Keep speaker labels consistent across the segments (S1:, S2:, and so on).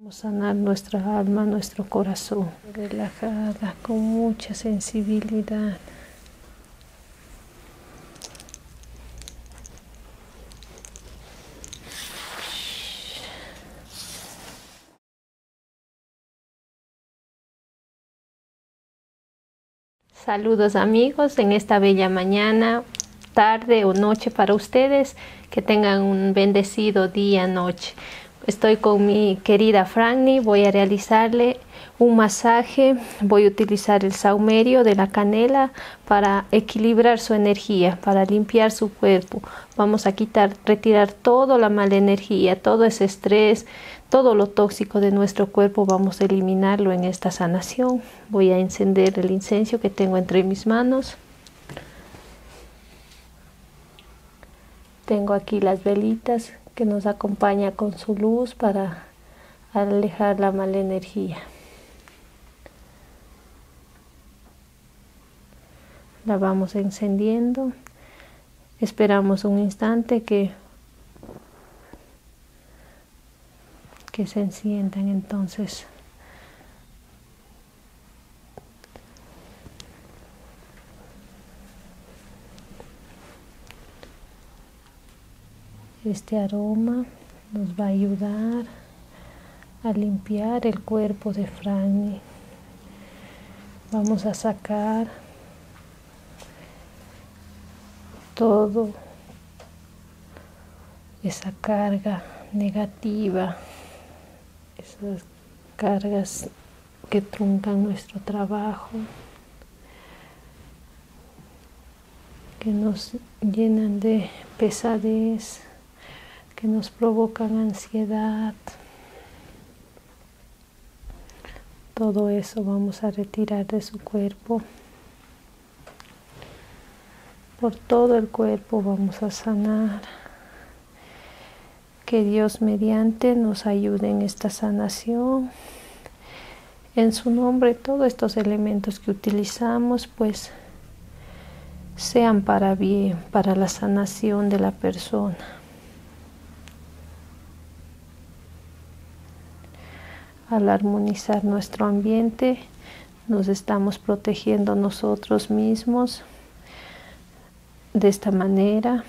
S1: Vamos a sanar nuestra alma, nuestro corazón, relajada, con mucha sensibilidad. Saludos amigos en esta bella mañana, tarde o noche para ustedes. Que tengan un bendecido día, noche. Estoy con mi querida Franny, voy a realizarle un masaje, voy a utilizar el saumerio de la canela para equilibrar su energía, para limpiar su cuerpo. Vamos a quitar, retirar toda la mala energía, todo ese estrés, todo lo tóxico de nuestro cuerpo, vamos a eliminarlo en esta sanación. Voy a encender el incenso que tengo entre mis manos. Tengo aquí las velitas que nos acompaña con su luz para alejar la mala energía. La vamos encendiendo. Esperamos un instante que que se enciendan entonces este aroma nos va a ayudar a limpiar el cuerpo de Franny. Vamos a sacar todo esa carga negativa esas cargas que truncan nuestro trabajo, que nos llenan de pesadez, que nos provocan ansiedad. Todo eso vamos a retirar de su cuerpo. Por todo el cuerpo vamos a sanar que Dios mediante nos ayude en esta sanación. En su nombre todos estos elementos que utilizamos pues sean para bien, para la sanación de la persona. Al armonizar nuestro ambiente, nos estamos protegiendo nosotros mismos de esta manera.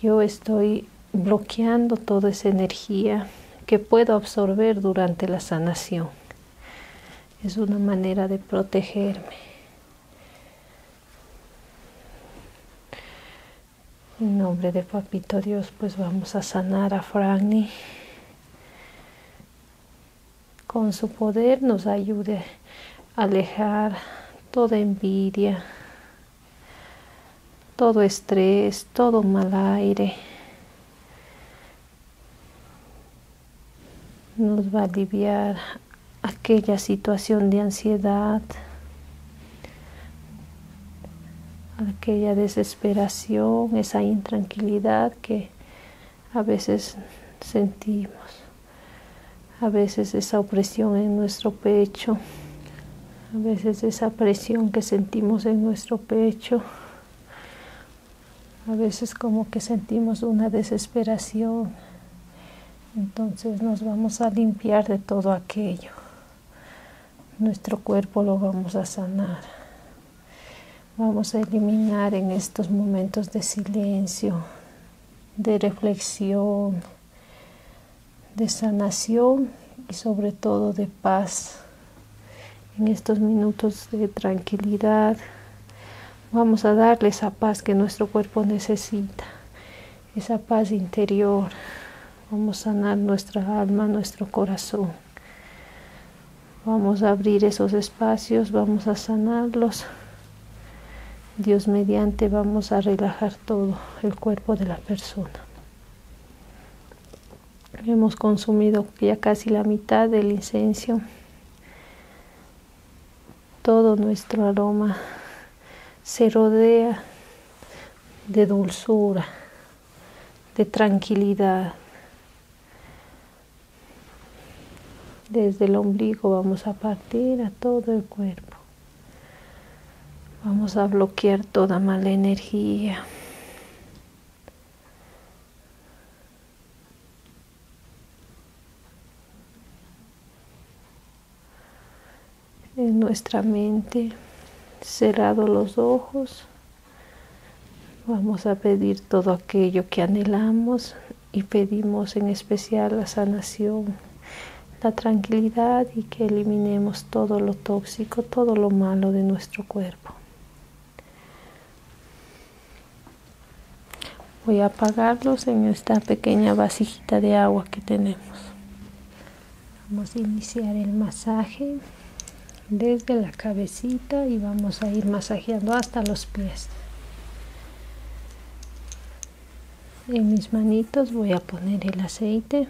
S1: Yo estoy bloqueando toda esa energía que puedo absorber durante la sanación. Es una manera de protegerme. En nombre de Papito Dios, pues vamos a sanar a Franny con su poder nos ayude a alejar toda envidia, todo estrés, todo mal aire. Nos va a aliviar aquella situación de ansiedad, aquella desesperación, esa intranquilidad que a veces sentimos, a veces esa opresión en nuestro pecho, a veces esa presión que sentimos en nuestro pecho, a veces como que sentimos una desesperación, entonces nos vamos a limpiar de todo aquello. Nuestro cuerpo lo vamos a sanar. Vamos a eliminar en estos momentos de silencio, de reflexión, de sanación y sobre todo de paz. En estos minutos de tranquilidad vamos a darle esa paz que nuestro cuerpo necesita, esa paz interior. Vamos a sanar nuestra alma, nuestro corazón. Vamos a abrir esos espacios, vamos a sanarlos. Dios mediante vamos a relajar todo el cuerpo de la persona. Hemos consumido ya casi la mitad del incienso. Todo nuestro aroma se rodea de dulzura, de tranquilidad, desde el ombligo vamos a partir a todo el cuerpo. Vamos a bloquear toda mala energía. En nuestra mente, cerrado los ojos Vamos a pedir todo aquello que anhelamos y pedimos en especial la sanación, la tranquilidad y que eliminemos todo lo tóxico, todo lo malo de nuestro cuerpo. Voy a apagarlos en esta pequeña vasijita de agua que tenemos. Vamos a iniciar el masaje desde la cabecita y vamos a ir masajeando hasta los pies en mis manitos voy a poner el aceite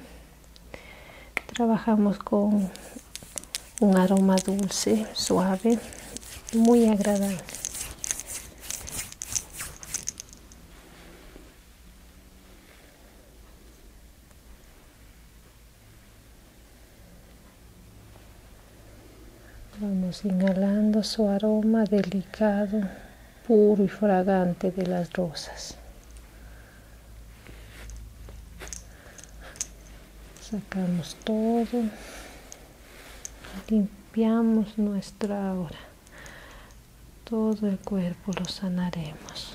S1: trabajamos con un aroma dulce suave muy agradable Vamos inhalando su aroma delicado, puro y fragante de las rosas. Sacamos todo, limpiamos nuestra aura, todo el cuerpo lo sanaremos.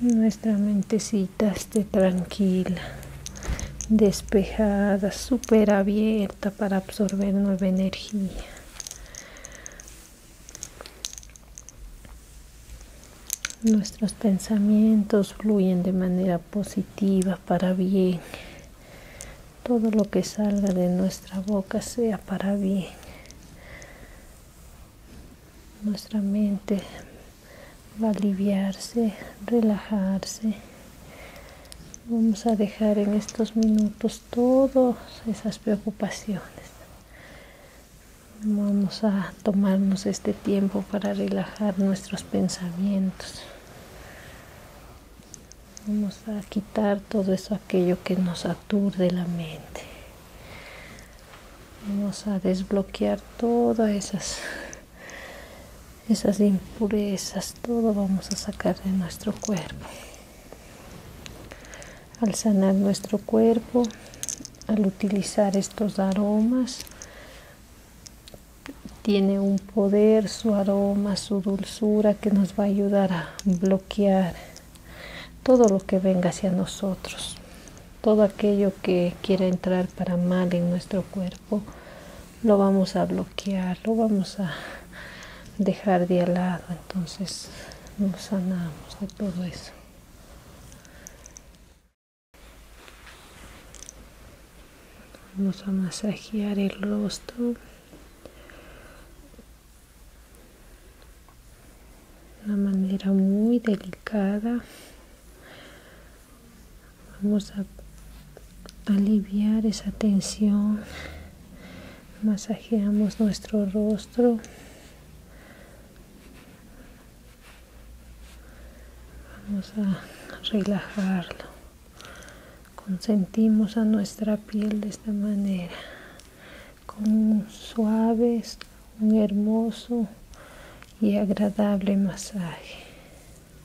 S1: nuestra mentecita esté tranquila, despejada, supera bien para absorber nueva energía. Nuestros pensamientos fluyen de manera positiva para bien. Todo lo que salga de nuestra boca sea para bien. Nuestra mente va a aliviarse, relajarse Vamos a dejar en estos minutos todas esas preocupaciones. Vamos a tomarnos este tiempo para relajar nuestros pensamientos. Vamos a quitar todo eso, aquello que nos aturde la mente. Vamos a desbloquear todas esas esas impurezas, todo vamos a sacar de nuestro cuerpo. Al sanar nuestro cuerpo, al utilizar estos aromas, tiene un poder, su aroma, su dulzura que nos va a ayudar a bloquear todo lo que venga hacia nosotros, todo aquello que quiera entrar para mal en nuestro cuerpo lo vamos a bloquear, lo vamos a dejar de al lado, entonces nos sanamos de todo eso. Vamos a masajear el rostro. De una manera muy delicada vamos a aliviar esa tensión masajeamos nuestro rostro vamos a relajarlo consentimos a nuestra piel de esta manera con un suave un hermoso y agradable masaje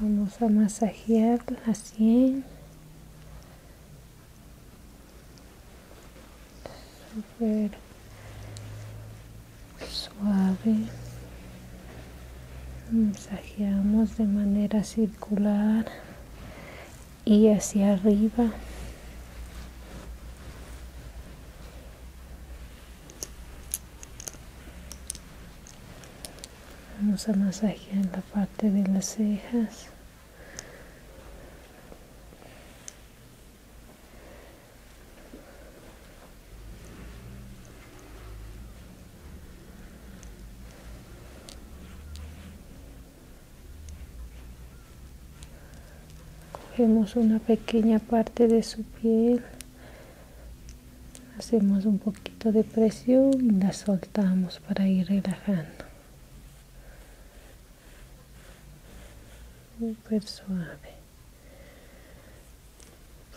S1: vamos a masajear así suave masajeamos de manera circular y hacia arriba Vamos a masajear la parte de las cejas. Cogemos una pequeña parte de su piel hacemos un poquito de presión y la soltamos para ir relajando súper suave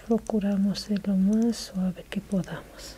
S1: procuramos ser lo más suave que podamos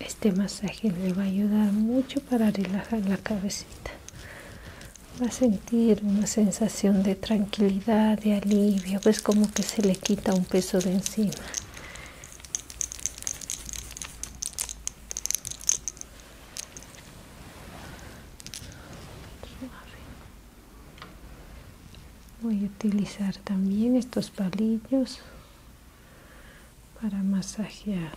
S1: Este masaje le va a ayudar mucho para relajar la cabecita. Va a sentir una sensación de tranquilidad, de alivio, pues como que se le quita un peso de encima. Voy a utilizar también estos palillos para masajear.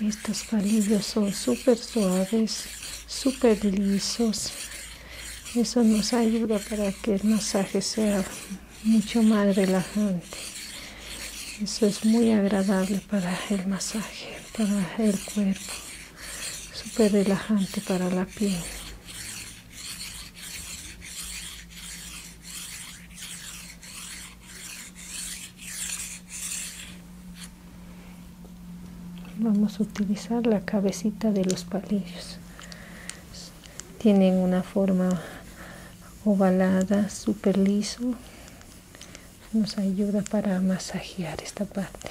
S1: Estos palillos son súper suaves, súper lisos. Eso nos ayuda para que el masaje sea mucho más relajante. Eso es muy agradable para el masaje, para el cuerpo. Súper relajante para la piel vamos a utilizar la cabecita de los palillos tienen una forma ovalada super liso nos ayuda para masajear esta parte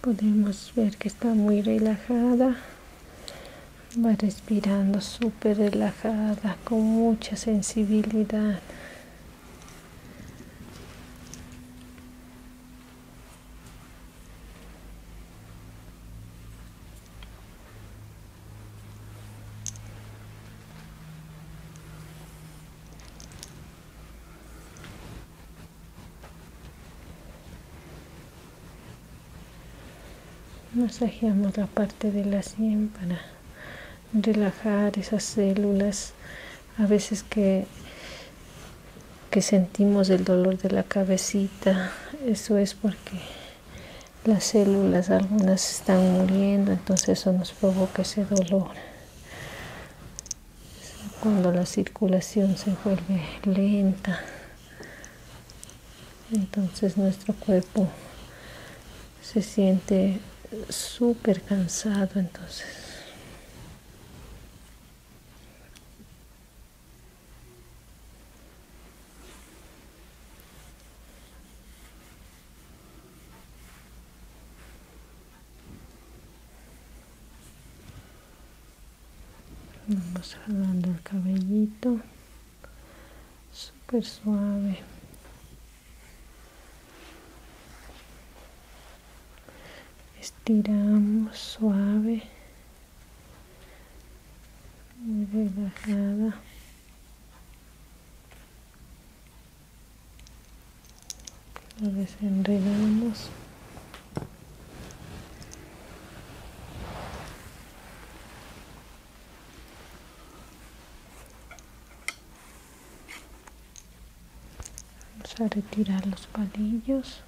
S1: podemos ver que está muy relajada va respirando súper relajada con mucha sensibilidad Masajeamos la parte de la sien para relajar esas células. A veces que, que sentimos el dolor de la cabecita, eso es porque las células algunas están muriendo, entonces eso nos provoca ese dolor cuando la circulación se vuelve lenta entonces nuestro cuerpo se siente súper cansado entonces Vamos jalando el cabellito, súper suave. Estiramos suave, muy relajada lo desenredamos vamos a retirar los palillos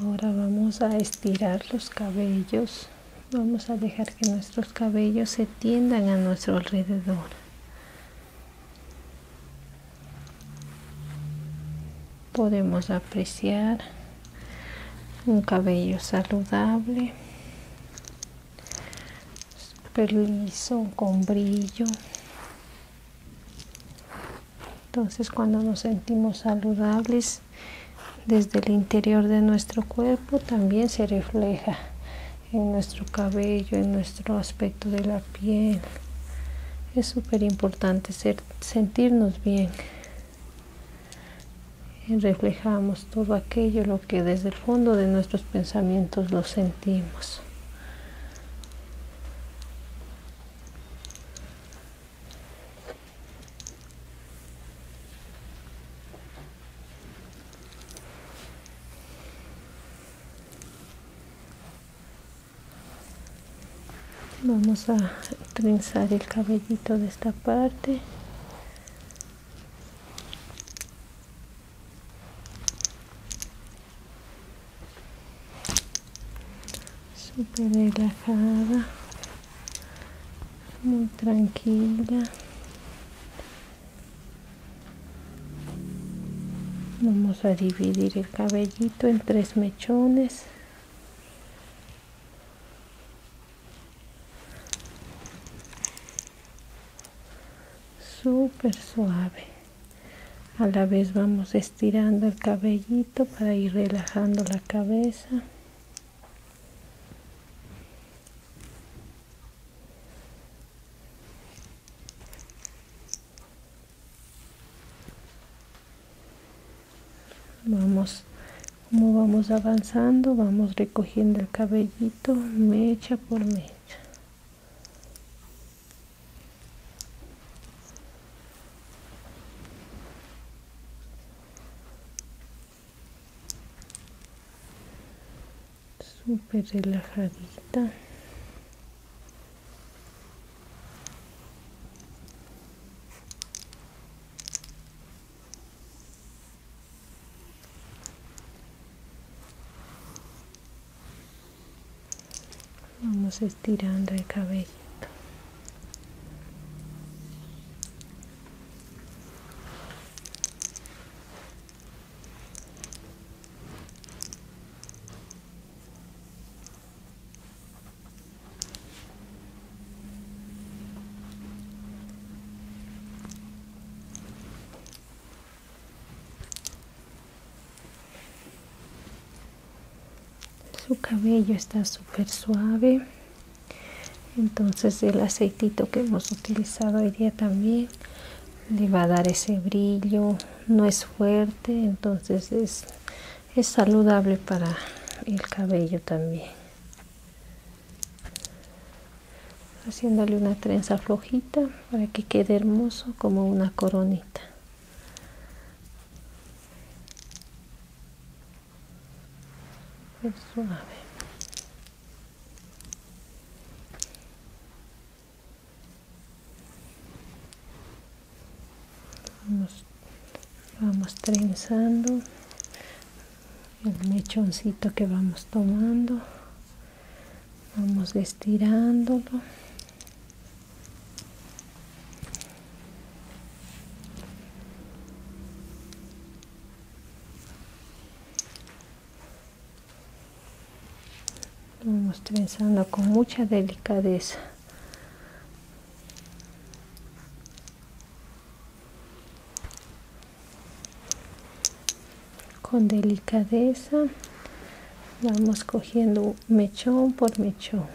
S1: ahora vamos a estirar los cabellos vamos a dejar que nuestros cabellos se tiendan a nuestro alrededor podemos apreciar un cabello saludable super con brillo entonces cuando nos sentimos saludables desde el interior de nuestro cuerpo también se refleja en nuestro cabello, en nuestro aspecto de la piel. Es súper importante sentirnos bien. reflejamos todo aquello lo que desde el fondo de nuestros pensamientos lo sentimos vamos a trenzar el cabellito de esta parte super relajada muy tranquila vamos a dividir el cabellito en tres mechones súper suave a la vez vamos estirando el cabellito para ir relajando la cabeza vamos como vamos avanzando vamos recogiendo el cabellito mecha por mecha super relajadita vamos estirando el cabello su cabello está súper suave entonces el aceitito que hemos utilizado hoy día también le va a dar ese brillo no es fuerte entonces es, saludable para el cabello también haciéndole una trenza flojita para que quede hermoso como una coronita pues suave vamos, vamos trenzando el mechoncito que vamos tomando vamos estirándolo vamos trenzando con mucha delicadeza con delicadeza vamos cogiendo mechón por mechón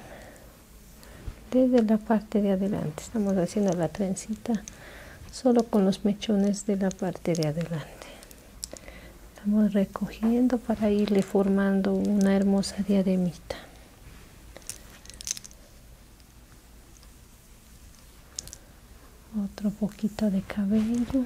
S1: desde la parte de adelante estamos haciendo la trencita solo con los mechones de la parte de adelante estamos recogiendo para irle formando una hermosa diademita. Otro poquito de cabello.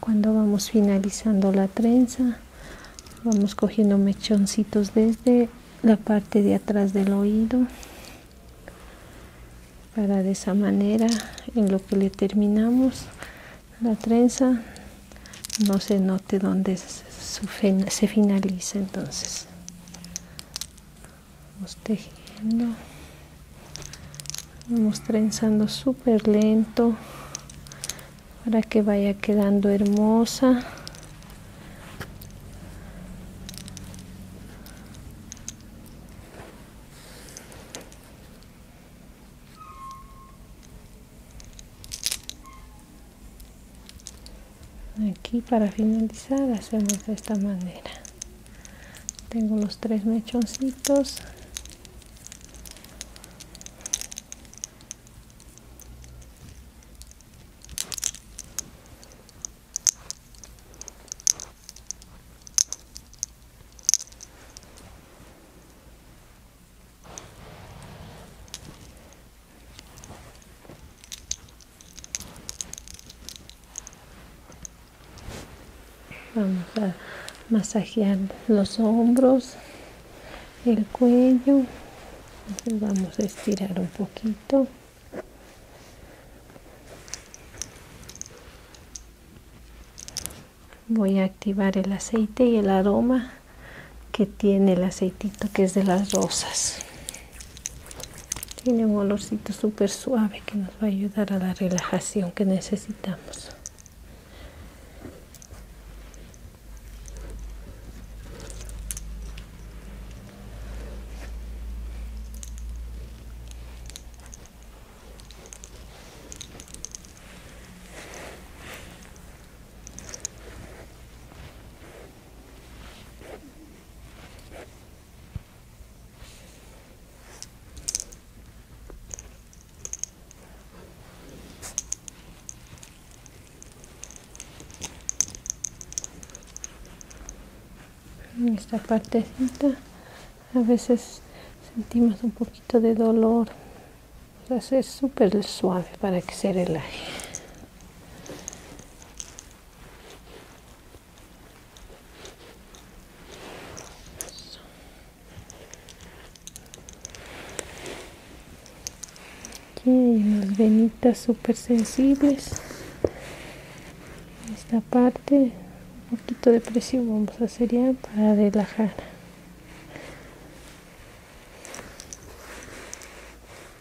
S1: cuando vamos finalizando la trenza vamos cogiendo mechoncitos desde la parte de atrás del oído para de esa manera en lo que le terminamos la trenza no se note dónde se finaliza entonces vamos vamos trenzando super lento para que vaya quedando hermosa aquí para finalizar hacemos de esta manera tengo los tres mechoncitos Vamos a masajear los hombros, el cuello. vamos a estirar un poquito. Voy a activar el aceite y el aroma que tiene el aceitito que es de las rosas tiene un olorcito súper suave que nos va a ayudar a la relajación que necesitamos en esta partecita a veces sentimos un poquito de dolor o es súper suave para que se relaje Aquí hay unas venitas súper sensibles. Esta parte, un poquito de presión vamos a hacer ya para relajar.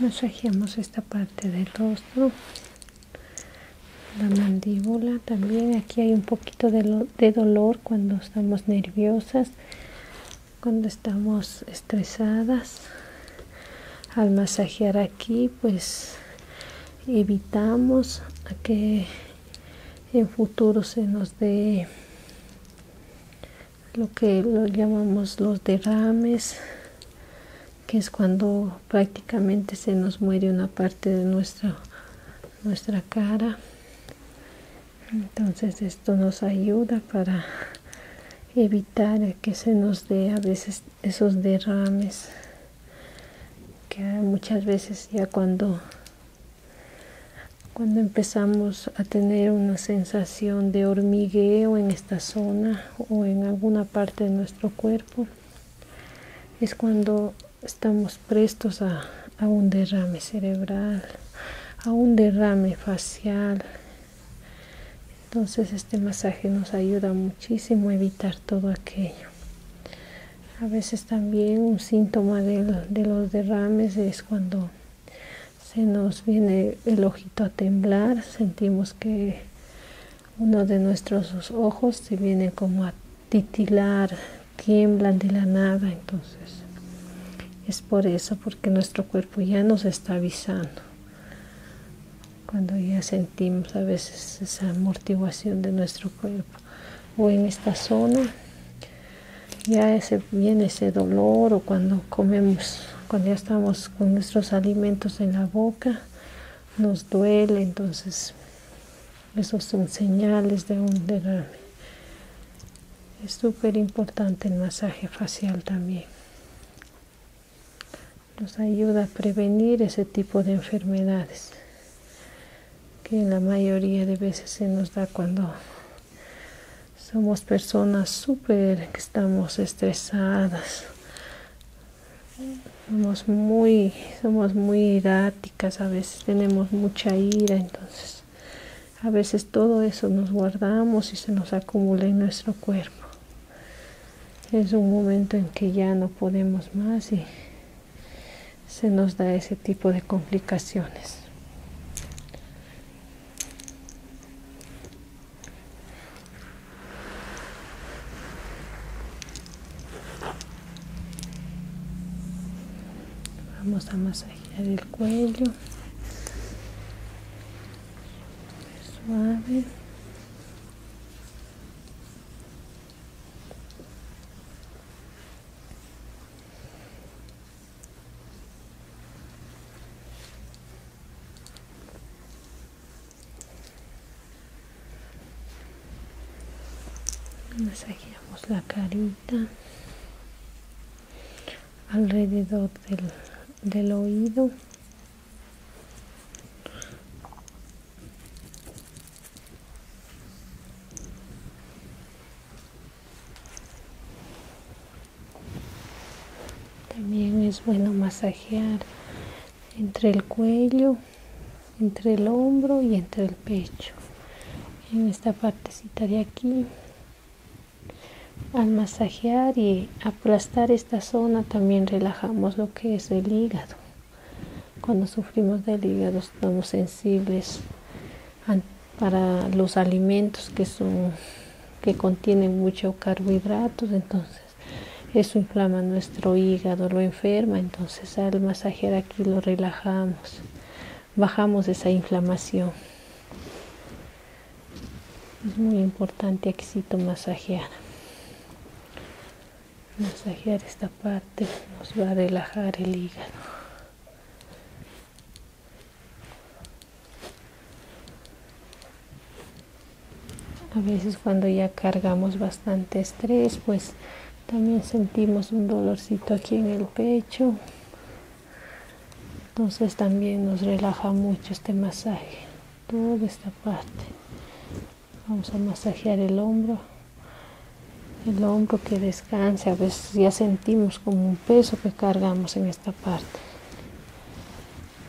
S1: masajeamos esta parte del rostro la mandíbula también aquí hay un poquito de, de dolor cuando estamos nerviosas cuando estamos estresadas al masajear aquí pues evitamos a que en futuro se nos dé lo que lo llamamos los derrames, que es cuando prácticamente se nos muere una parte de nuestra, nuestra cara. Entonces esto nos ayuda para evitar que se nos dé a veces esos derrames que muchas veces ya cuando cuando empezamos a tener una sensación de hormigueo en esta zona o en alguna parte de nuestro cuerpo es cuando estamos prestos a, un derrame cerebral a un derrame facial entonces este masaje nos ayuda muchísimo a evitar todo aquello a veces también un síntoma de los derrames es cuando se nos viene el ojito a temblar, sentimos que uno de nuestros ojos se viene como a titilar, tiemblan de la nada, entonces es por eso, porque nuestro cuerpo ya nos está avisando. Cuando ya sentimos a veces esa amortiguación de nuestro cuerpo o en esta zona, ya ese, viene ese dolor o cuando comemos cuando ya estamos con nuestros alimentos en la boca, nos duele, entonces esos son señales de un derrame. Es súper importante el masaje facial también. Nos ayuda a prevenir ese tipo de enfermedades que la mayoría de veces se nos da cuando somos personas súper que estamos estresadas somos muy somos muy iráticas a veces tenemos mucha ira entonces a veces todo eso nos guardamos y se nos acumula en nuestro cuerpo es un momento en que ya no podemos más y se nos da ese tipo de complicaciones Vamos a masajear el cuello. Suave. Masajeamos la carita alrededor del, del oído. También es bueno masajear entre el cuello, entre el hombro y entre el pecho. En esta partecita de aquí, al masajear y aplastar esta zona también relajamos lo que es el hígado. Cuando sufrimos del hígado estamos sensibles para los alimentos que son que contiene mucho carbohidratos, entonces eso inflama nuestro hígado, lo enferma, entonces al masajear aquí lo relajamos, bajamos esa inflamación. Es muy importante éxito masajear. Masajear esta parte nos va a relajar el hígado. A veces cuando ya cargamos bastante estrés, pues también sentimos un dolorcito aquí en el pecho. Entonces también nos relaja mucho este masaje, toda esta parte. Vamos a masajear el hombro, el hombro que descanse. A veces ya sentimos como un peso que cargamos en esta parte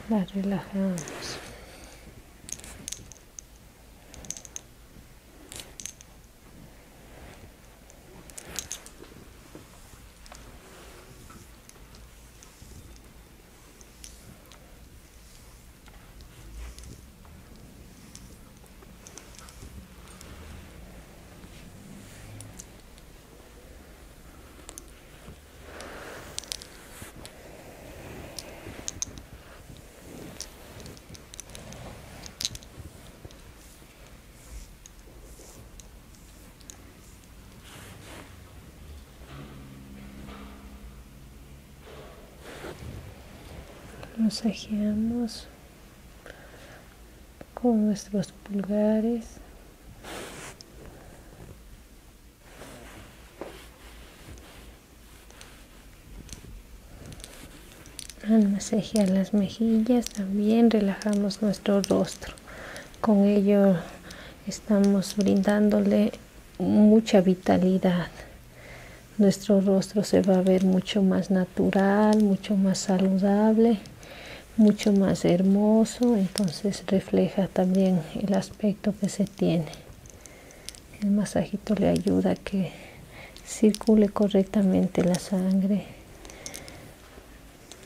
S1: las relajamos Masajeamos con nuestros pulgares al ah, a las mejillas también relajamos nuestro rostro. Con ello estamos brindándole mucha vitalidad. Nuestro rostro se va a ver mucho más natural, mucho más saludable mucho más hermoso entonces refleja también el aspecto que se tiene el masajito le ayuda a que circule correctamente la sangre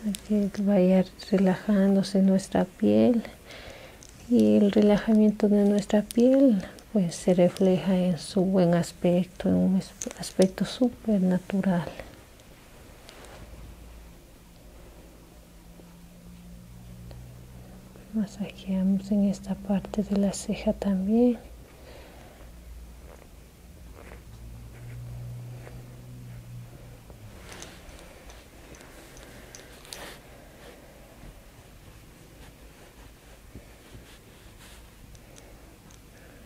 S1: a que vaya relajándose nuestra piel y el relajamiento de nuestra piel pues se refleja en su buen aspecto en un aspecto súper natural masajeamos en esta parte de la ceja también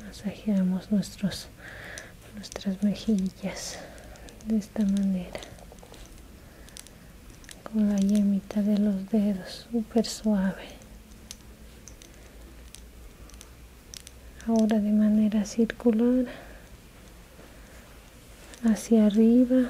S1: masajeamos nuestros nuestras mejillas de esta manera con la yemita de los dedos súper suave ahora de manera circular hacia arriba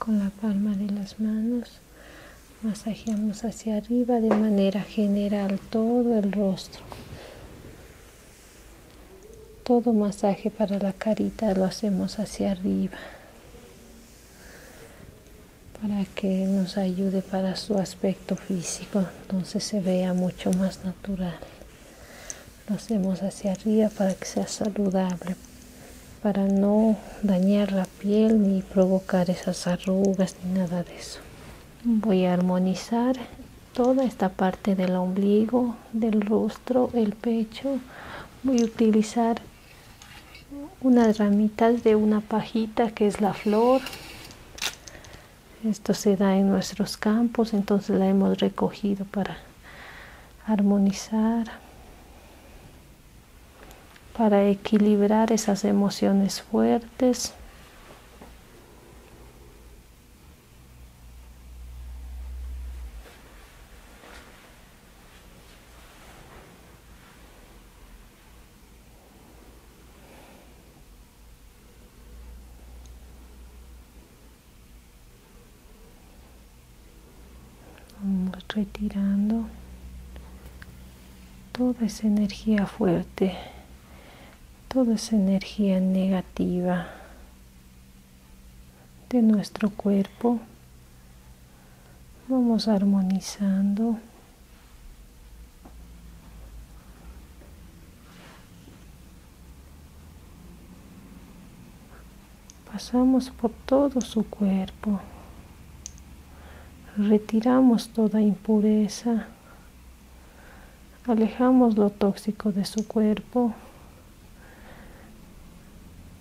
S1: con la palma de las manos masajeamos hacia arriba de manera general todo el rostro todo masaje para la carita lo hacemos hacia arriba para que nos ayude para su aspecto físico, entonces se vea mucho más natural. Lo hacemos hacia arriba para que sea saludable, para no dañar la piel ni provocar esas arrugas ni nada de eso. Voy a armonizar toda esta parte del ombligo, del rostro, el pecho. Voy a utilizar unas ramitas de una pajita que es la flor. Esto se da en nuestros campos, entonces la hemos recogido para armonizar, para equilibrar esas emociones fuertes. Vamos retirando toda esa energía fuerte, toda esa energía negativa de nuestro cuerpo. Vamos armonizando. Pasamos por todo su cuerpo. Retiramos toda impureza. Alejamos lo tóxico de su cuerpo.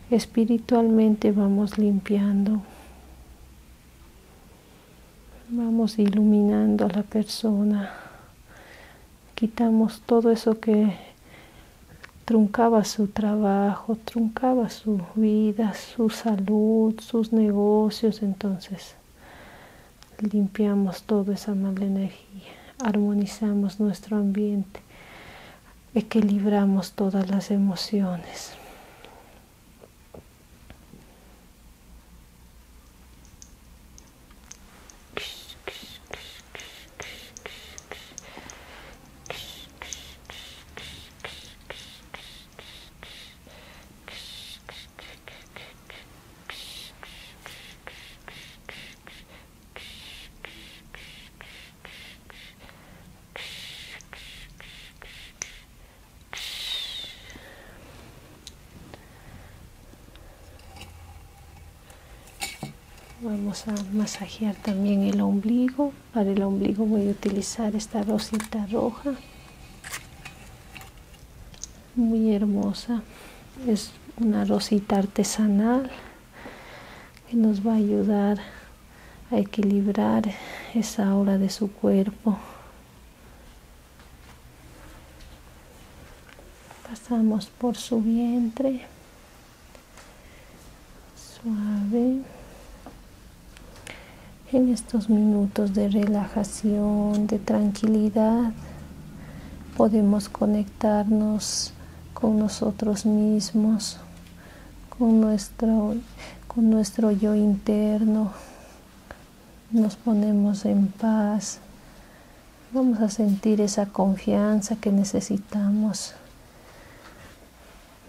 S1: Espiritualmente vamos limpiando, vamos iluminando a la persona, quitamos todo eso que truncaba su trabajo, truncaba su vida, su salud, sus negocios, entonces limpiamos toda esa mala energía armonizamos nuestro ambiente, equilibramos todas las emociones. Vamos a masajear también el ombligo. Para el ombligo voy a utilizar esta rosita roja. Muy hermosa una rosita artesanal que nos va a ayudar a equilibrar esa aura de su cuerpo. Pasamos por su vientre, suave. En estos minutos de relajación, de tranquilidad, podemos conectarnos con nosotros mismos, con nuestro, con nuestro yo interno. Nos ponemos en paz. Vamos a sentir esa confianza que necesitamos.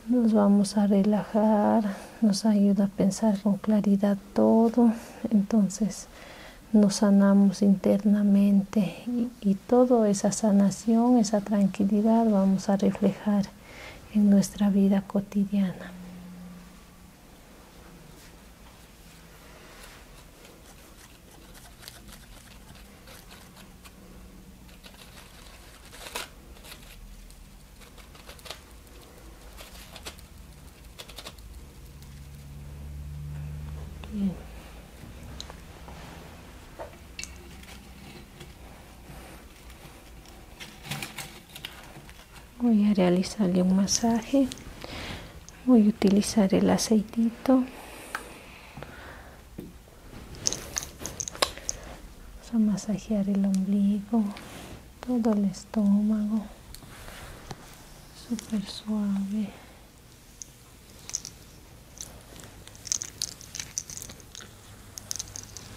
S1: Nos vamos a relajar, nos ayuda a pensar con claridad todo. Entonces, nos sanamos internamente y, toda esa sanación, esa tranquilidad vamos a reflejar en nuestra vida cotidiana voy a realizarle un masaje voy a utilizar el aceitito vamos a masajear el ombligo todo el estómago super suave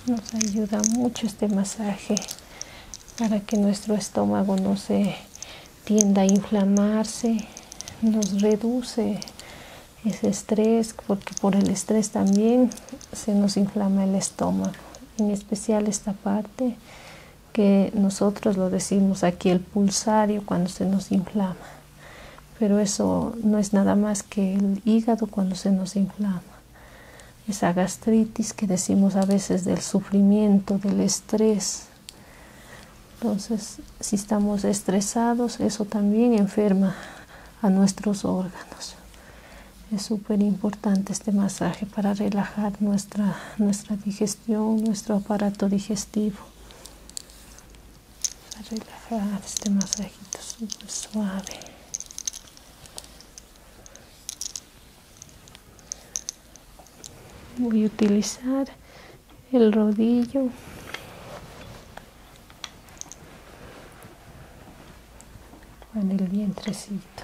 S1: nos ayuda mucho este masaje para que nuestro estómago no se tienda a inflamarse, nos reduce ese estrés, porque por el estrés también se nos inflama el estómago, en especial esta parte que nosotros lo decimos aquí el pulsario cuando se nos inflama. Pero eso no es nada más que el hígado cuando se nos inflama. Esa gastritis que decimos a veces del sufrimiento, del estrés. Entonces, si estamos estresados, eso también enferma a nuestros órganos. Es súper importante este masaje para relajar nuestra, nuestra digestión nuestro aparato digestivo. A relajar ah, este masajito súper suave. Voy a utilizar el rodillo en el vientrecito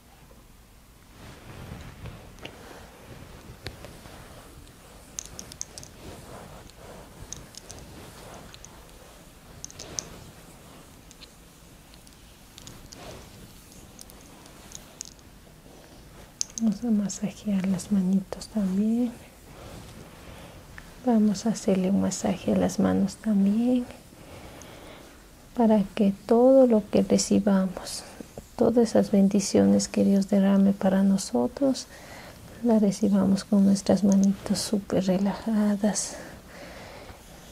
S1: Vamos a masajear las manitos también. Vamos a hacerle un masaje a las manos también para que todo lo que recibamos, todas esas bendiciones que Dios derrame para nosotros, las recibamos con nuestras manitos súper relajadas,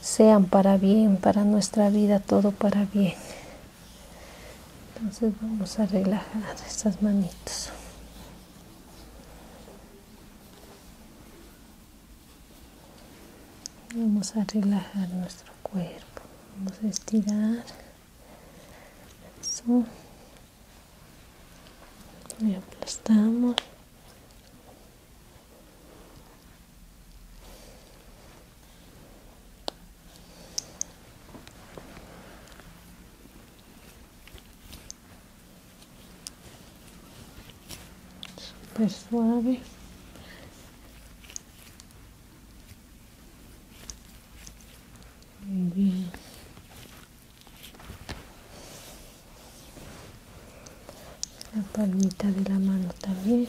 S1: sean para bien, para nuestra vida, todo para bien. Entonces vamos a relajar estas manitos. Vamos a relajar nuestro cuerpo. Vamos a estirar. Eso. Y aplastamos súper suave muy bien la palmita de la mano también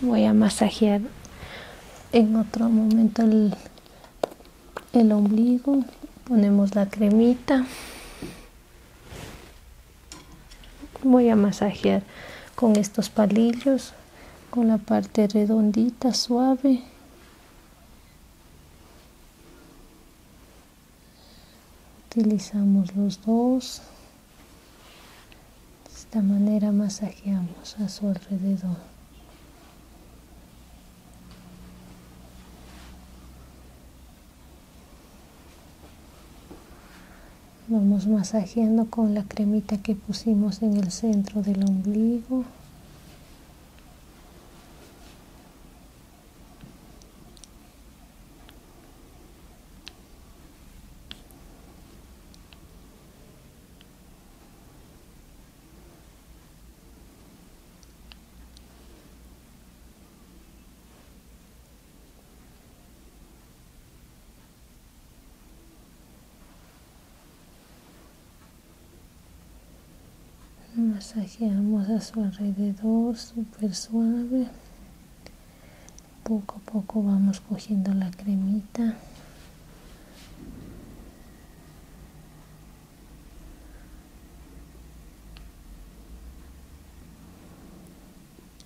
S1: voy a masajear en otro momento el, el ombligo ponemos la cremita voy a masajear con estos palillos con la parte redondita suave utilizamos los dos de esta manera masajeamos a su alrededor Vamos masajeando con la cremita que pusimos en el centro del ombligo. Masajeamos a su alrededor, súper suave. Poco a poco vamos cogiendo la cremita.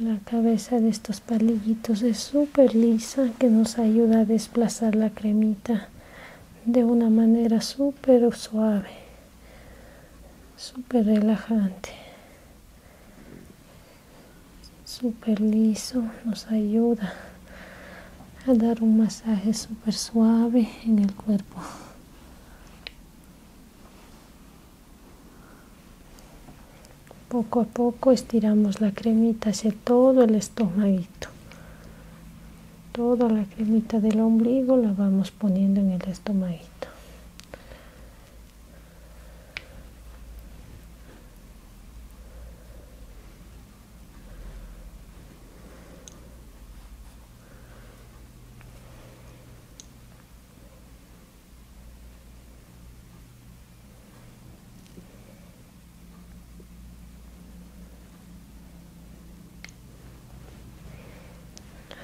S1: La cabeza de estos palillitos es súper lisa que nos ayuda a desplazar la cremita de una manera súper suave súper relajante súper liso nos ayuda a dar un masaje super suave en el cuerpo poco a poco estiramos la cremita hacia todo el estómago toda la cremita del ombligo la vamos poniendo en el estomaguito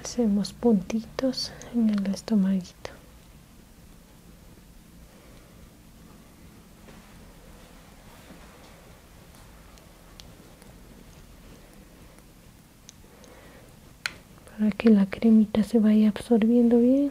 S1: hacemos puntitos en el estomaguito para que la cremita se vaya absorbiendo bien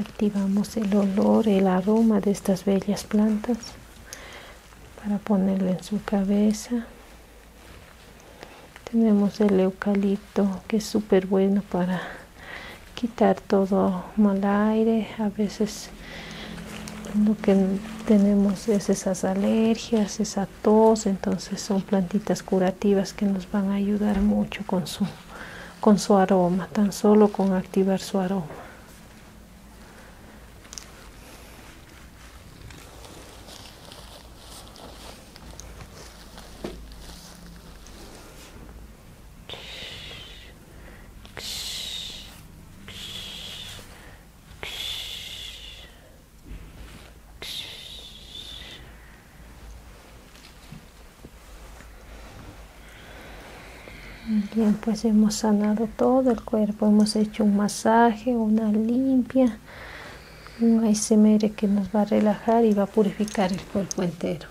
S1: Activamos el olor, el aroma de estas bellas plantas para ponerle en su cabeza. Tenemos el eucalipto que es súper bueno para quitar todo mal aire. A veces lo que tenemos es esas alergias, esa tos, entonces son plantitas curativas que nos van a ayudar mucho con su, con su aroma, tan solo con activar su aroma. Bien, pues hemos sanado todo el cuerpo, hemos hecho un masaje, una limpia, un ASMR que nos va a relajar y va a purificar el cuerpo entero.